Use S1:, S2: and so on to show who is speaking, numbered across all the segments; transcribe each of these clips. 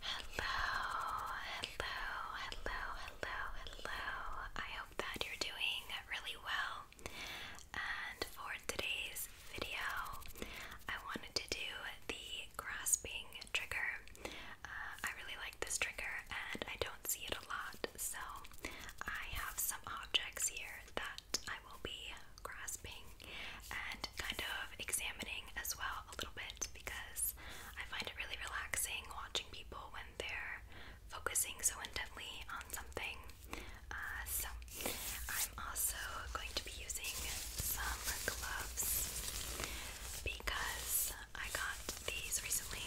S1: Hello, hello, hello, hello, hello. I hope that you're doing really well. And for today's video, I wanted to do the grasping trigger. Uh, I really like this trigger and I don't see it a lot, so I have some objects here that I will be grasping and kind of examining as well a little bit because I find it really relaxing watching people when they're focusing so intently on something. Uh, so, I'm also going to be using some gloves because I got these recently.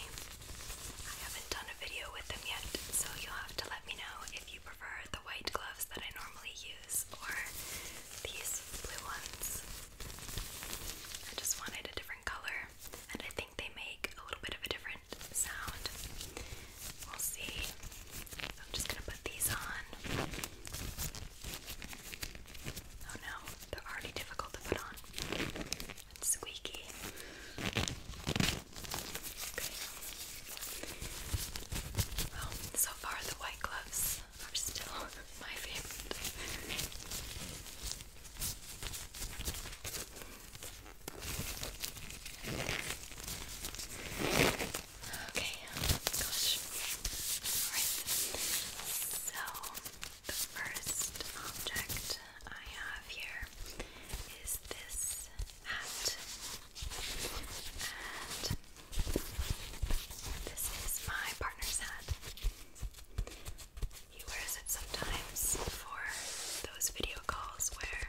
S1: I haven't done a video with them yet, so you'll have to let me know if you prefer the white gloves that I normally use or these blue ones. I just wanted a different color, and I think they make a little bit of a different sound. We'll see. I'm just gonna put these on. Oh no, they're already difficult to put on. squeaky. Okay. Well, so far the white gloves are still my favorite. okay, so the first object I have here is this hat. This is my partner's hat. He wears it sometimes for those video calls where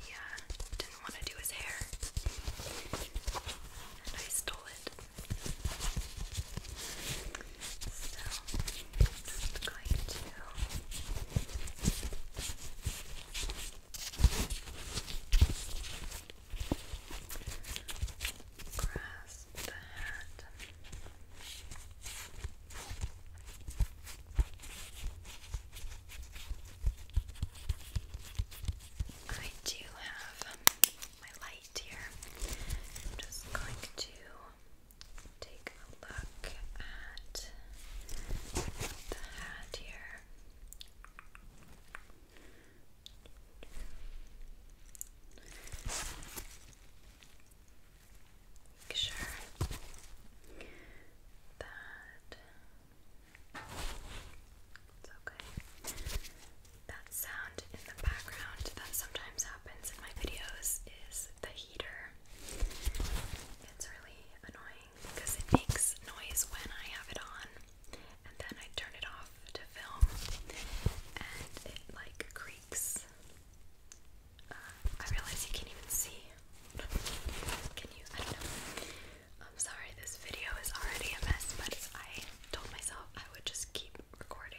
S1: he uh, didn't want to do his hair. And I stole it. So, I'm going to. Grass the hat. I do have my light here. I'm just going to take a look at the hat here. Make sure that it's okay. That sound in the background that sometimes happens in my videos is the heater. It's really annoying because it makes noise when I have it on and then I turn it off to film, and it like creaks. Uh, I realize you can't even see. Can you? I don't know. I'm sorry, this video is already a mess, but I told myself I would just keep recording.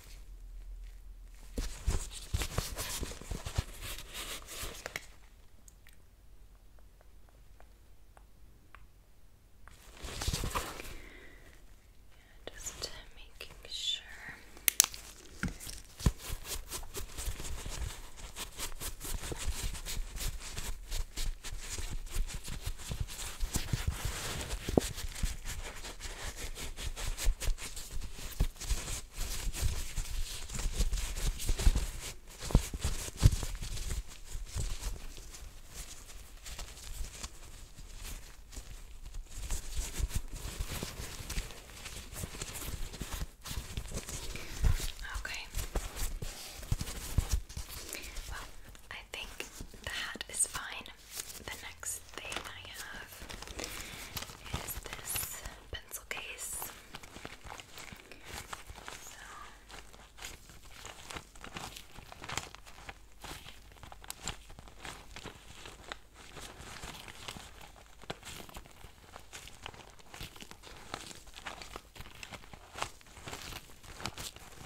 S1: Yeah, just making sure. Okay. Well, I think the hat is fine the next thing I have is this pencil case.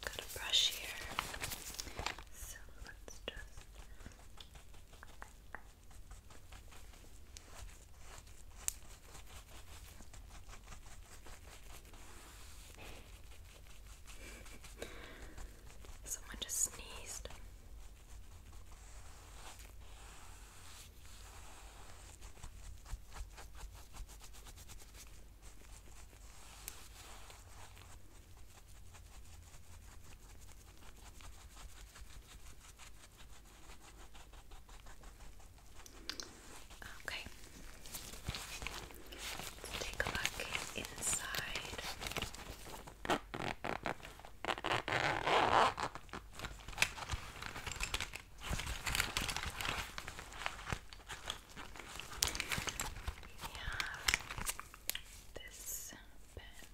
S1: Got a brush here. So let's just Someone just sneezed. Okay. Let's take a look inside. We have this pen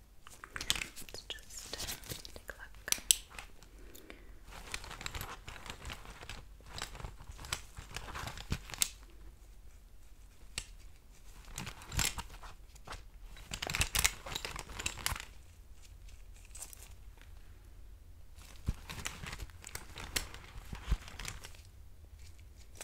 S1: Let's just uh, take a look.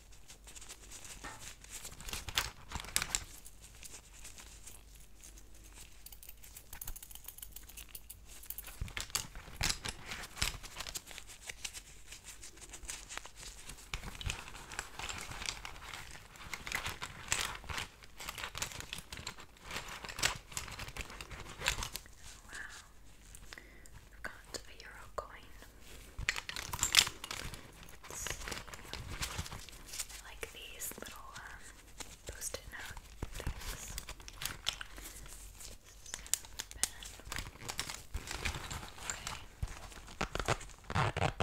S1: Wow. I've got a euro coin Let's see. I like these little um, post-it note things. Okay. Okay.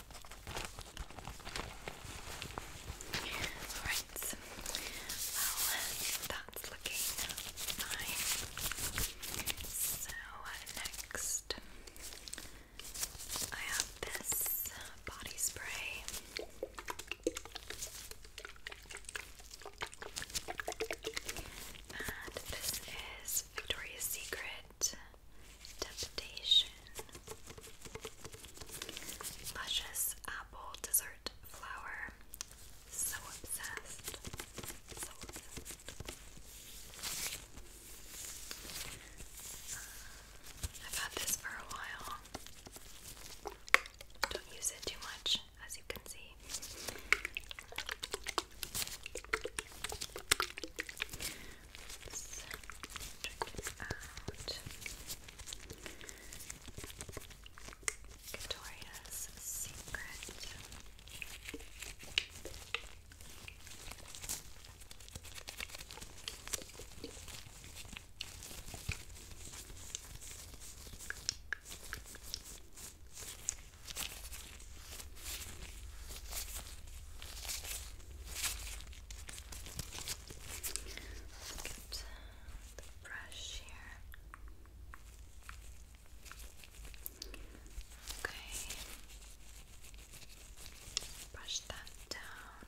S1: Alright, well, that's looking fine. So, next, I have this body spray. And this is Victoria's Secret Temptation. Luscious apple dessert flour. So obsessed. I've had this for a while. Don't use it too much, as you can see. So, check it out. Victoria's Secret. Get the brush here. Okay. Brush that down.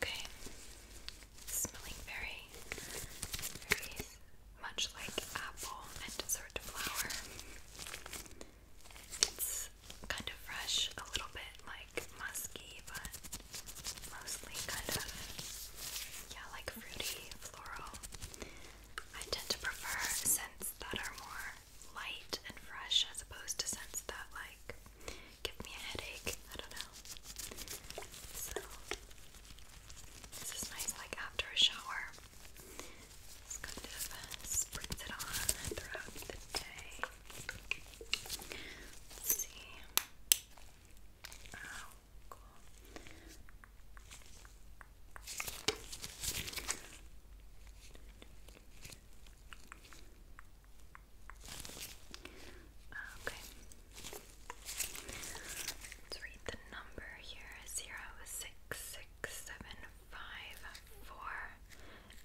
S1: Okay. Smelling very, very much like apple and dessert flower. It's kind of fresh, a little bit like musky, but mostly kind of, yeah, like fruity, floral. I tend to prefer scents that are more light and fresh as opposed to scents that, like, give me a headache. I don't know. So this is nice, like after a shower. Just kind of spritz it on throughout the day. see. Oh, cool. Oh, okay. Let's read the number here. Zero six six seven five four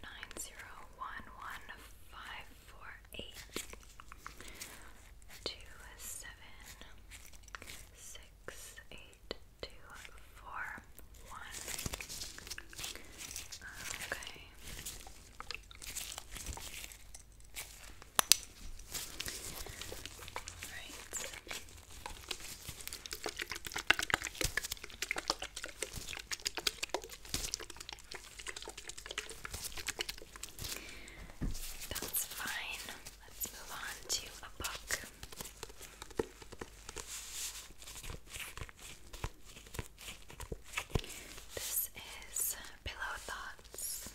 S1: nine zero one one five four eight two seven six eight two four one. Okay. Right. That's fine. Let's move on to a book. This is Pillow Thoughts.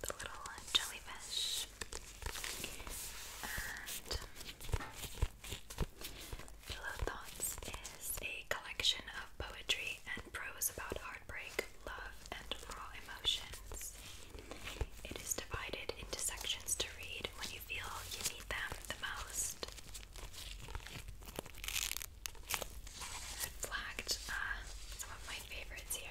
S1: The little jellyfish. And Pillow Thoughts is a collection of poetry and prose about heartbreak, love, and raw emotions. It is divided into sections to read when you feel you need them the most. flagged uh, some of my favorites here.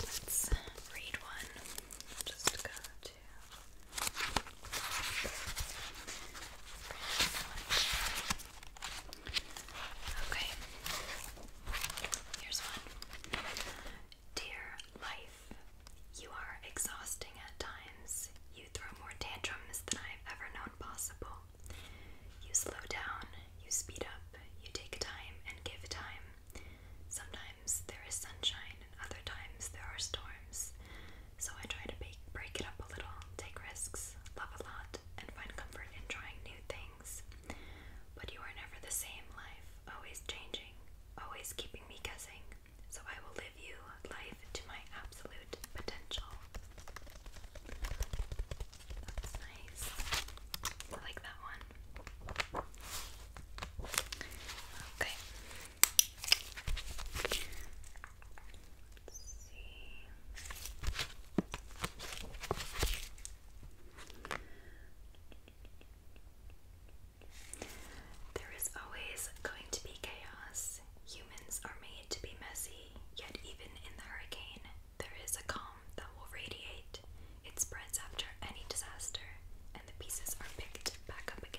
S1: Let's read one. just go to Okay. Here's one. Dear life, you are exhausting at times. You throw more tantrums than I've ever known possible. You slow down, you speed up, you take time and give time. Sometimes there is sunshine, and other times there are storms. So I try to break it up a little, take risks, love a lot, and find comfort in trying new things. But you are never the same, life, always changing, always keeping me guessing. So I will live you life to my absolute potential. That's nice. I like that one. Okay. Let's see. There is always going to be chaos. Humans are made to be messy, yet, even in the hurricane, there is a calm that will radiate. It spreads after any disaster, and the pieces are picked back up again.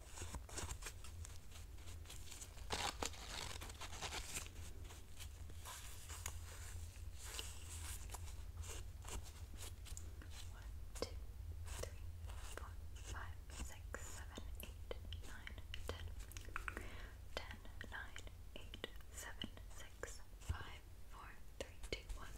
S1: One, two, three, four, five, six, seven, eight, nine, ten. Ten, nine, eight, seven, six, five, four, three, two, one.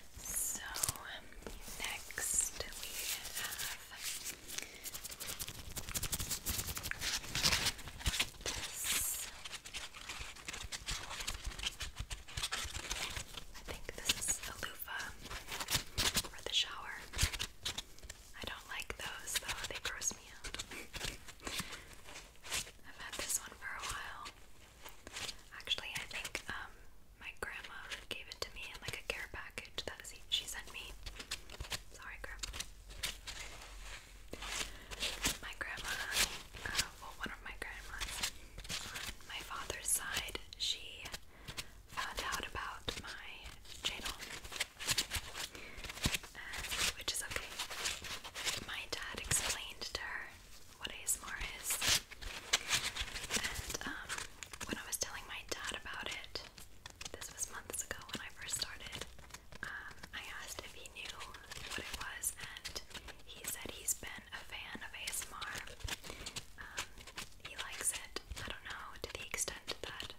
S1: So, next we have this. I think this is the loofah for the shower. I don't like those though, they gross me out. I've had this one for a while. Actually, I think um, my grandma gave it to me in like a care package that she sent me. Sorry, grandma. My grandma, uh, well, one of my grandmas my father's side, she found out about my channel, which is okay. My dad explained to her what ASMR is, and um, when I was telling my dad about it, this was months ago when I first started, um, I asked if he knew what it was, and he said he's been a fan of ASMR. Um, he likes it, I don't know, to the extent that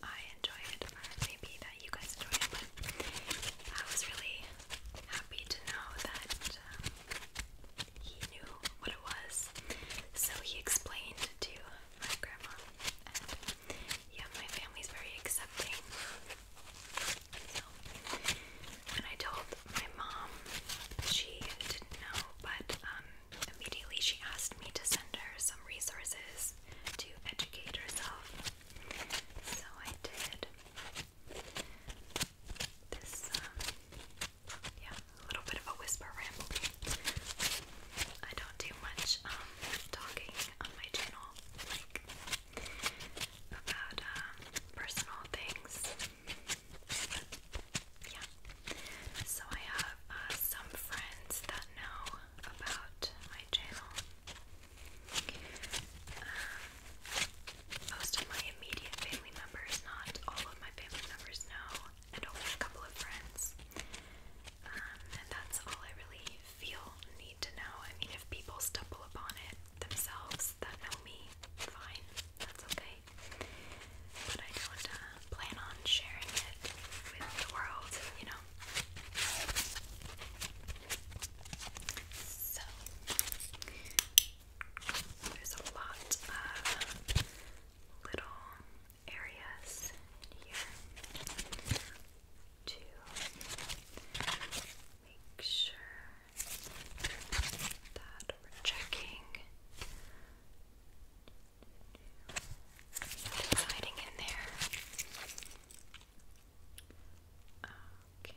S1: I enjoy it, maybe that you guys enjoy it, but I was really happy to know that um, he knew what it was. So he explained to my grandma. And yeah, my family's very accepting. So, when I told my mom, she didn't know, but um, immediately she asked me to send her some resources to educate herself. So I did. This um, yeah, a little bit of a whisper rambling. I don't do much um, talking on my channel, like about um, personal things. Yeah. So I have uh, some friends that know about my channel. Uh, most of my immediate family members, not all of my family members know and over a couple of friends. Um, and that's all I really feel need to know. I mean, if people stumble upon it themselves that know me, fine, that's okay. But I don't uh, plan on sharing it with the world, you know. So, there's a lot of little areas here to make sure that we're checking hiding in there. Okay.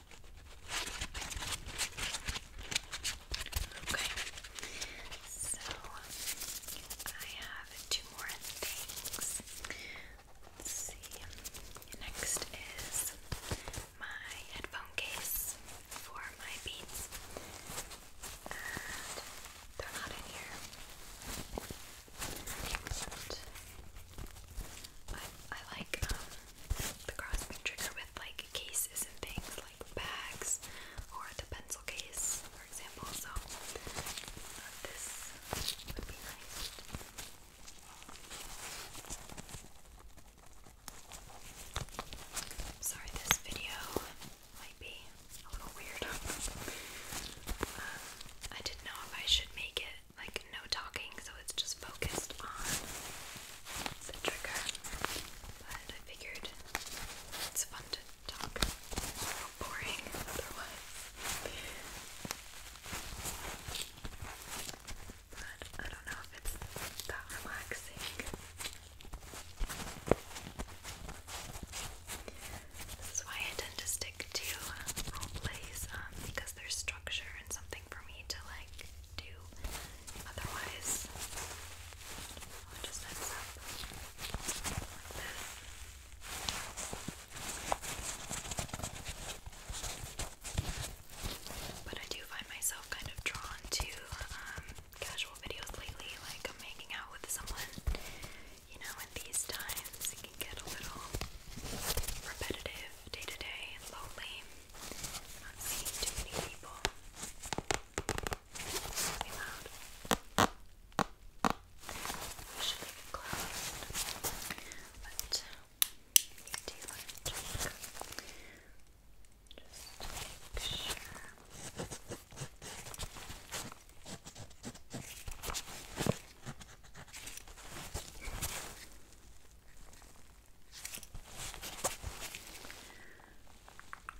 S1: Okay, so I have two more things. Next is my headphone case for my beats, and they're not in here. But I I like um, the crossbone trigger with like cases and things like bags or the pencil case, for example. So this would be nice. sorry, this video might be a little weird. Uh, I didn't know if I should make it like no talking, so it's just focused on the trigger. But I figured it's fun to talk. boring otherwise. But I don't know if it's that relaxing. This is why I tend to stick to role plays um, because there's structure and something i But I do find myself kind of drawn to um, casual videos lately, like am making out with someone. You know, in these times, it can get a little repetitive day to day lonely, not seeing too many people. It's really loud. should leave it but you do it. Just make sure.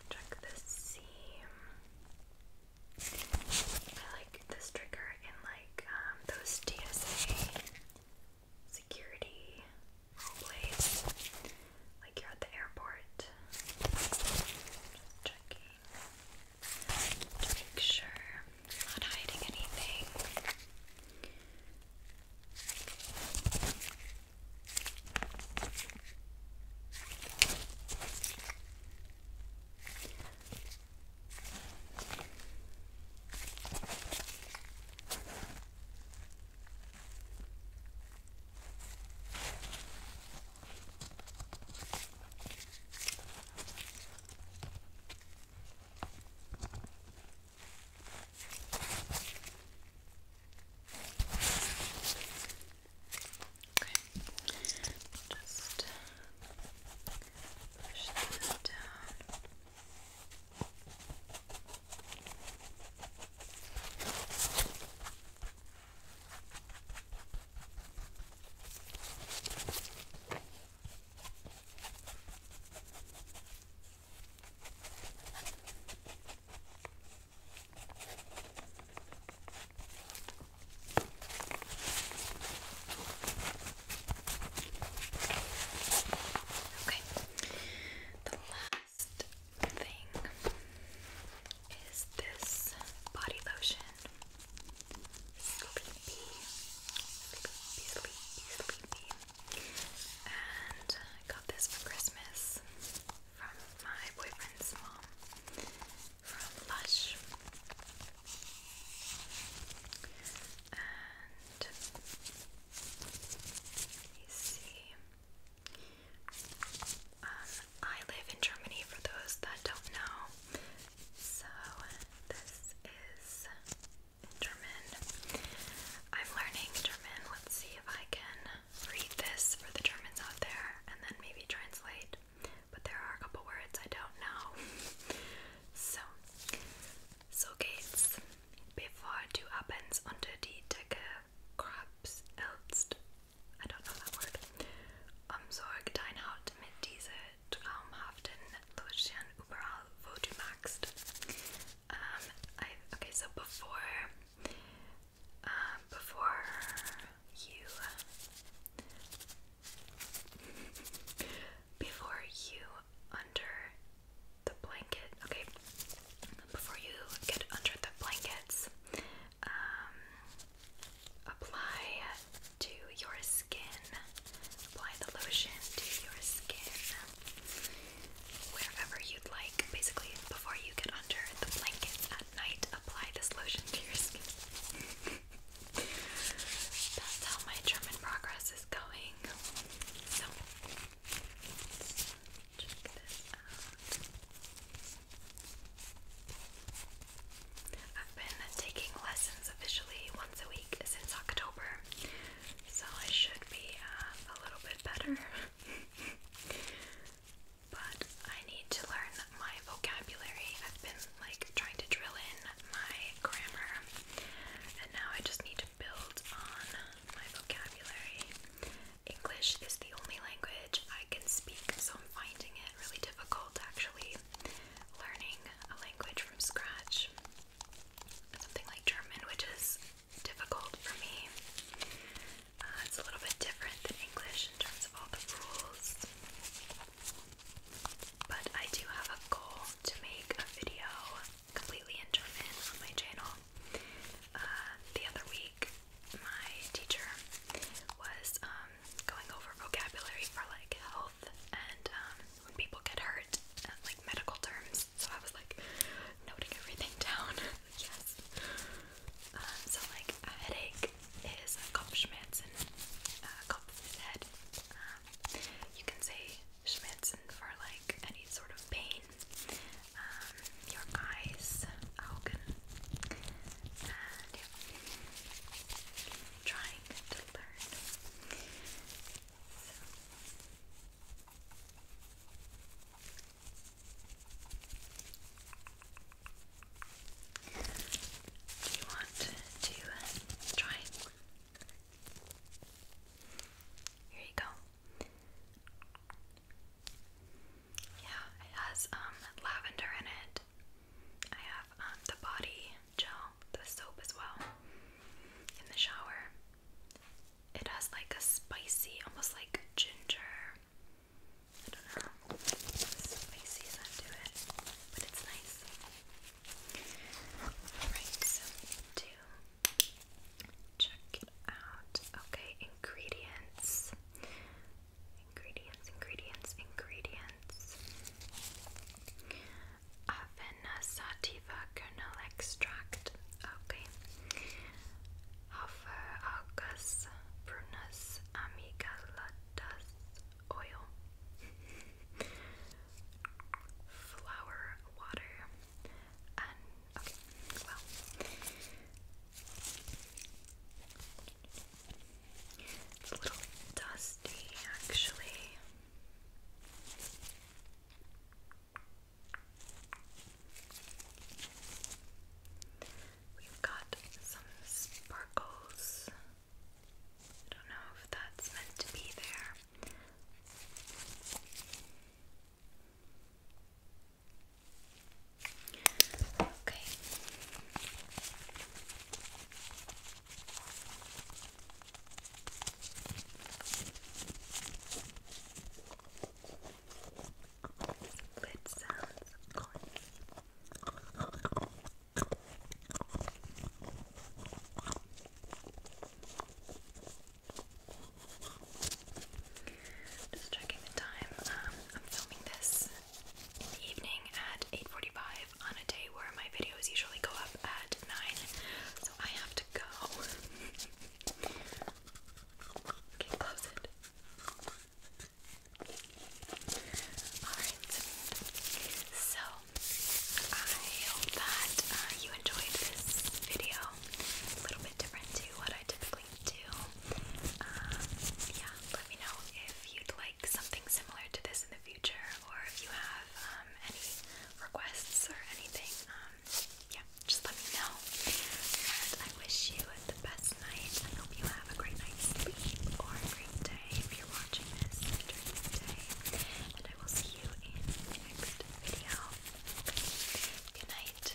S1: Check this seam. I like this trigger in like um, those TSA security blades, like you're at the airport. checking to make sure I'm not hiding anything just push that down. Okay. Okay, the last thing is this body lotion. And I got this for Christmas from my boyfriend's mom from Lush. And let me see. Um, I live in Germany for those that don't know. So this is German. I'm learning German. Let's see if I can read this for the Germans out there and then maybe translate. But there are a couple words I don't know. So, so geht's. Bevor du abends unter die Decke krabst, I don't know that word. Umsorg dein Haut mit diese traumhaften Lotion overall Vodumaxed. Um, okay. So before, um, before you, before you under the blanket. Okay, before you get under the blankets, um, apply to your skin apply the lotion to your skin wherever you'd like. Basically, before you get under the blankets at night, apply this lotion to your skin. That's how my German progress is going. So, check this I've been taking lessons officially once a week since October so I should be uh, a little bit better. but I need to learn my vocabulary. I've been like trying to drill in my grammar, and now I just need to build on my vocabulary. English is the only language I can speak, so I'm finding it really difficult actually learning a language from scratch something like German, which is difficult for me. Uh, it's a little bit different than English in terms of all the rules. But I do have a goal to make a video completely in German on my channel. Uh, the other week, my teacher was um, going over vocabulary for like health and um, when people get hurt, uh, like medical terms so I was like noting everything down. yes. Um, so like a headache is a Kopfschmerzen, uh, Kopf is head. Um, you can say Schmerzen for like any sort of pain. Um, your eyes, Augen, and yeah. Trying to learn. Do you want to try Here you go. Yeah, it has um, lavender in it. I have um, the body gel, the soap as well in the shower. It has like a spicy, almost like ginger. I don't know. Spicy scent to it, but it's nice. Alright, so we check it out. Okay, ingredients. Ingredients, ingredients, ingredients. Avena sativa kernel extract. Okay. Alpha Algus Brunus Amygdalatus oil. Flower water. And okay, well. It's a little dusty actually. We've got some sparkles. I don't know if that's meant to be there. Okay. That sounds good. Just checking the time. Um, I'm filming this in the evening at 8:45 on a day where my videos usually go up at 9. So I have go. okay, close it. Alright, so I hope that uh, you enjoyed this video. a little bit different to what I typically do. Um, yeah, let me know if you'd like something similar to this in the future or if you have um, any requests or anything. Um, yeah, just let me know. And I wish you the best night. I hope you have a great night's sleep or a great day if you're watching this during the day. And I will see you in next video. Good night.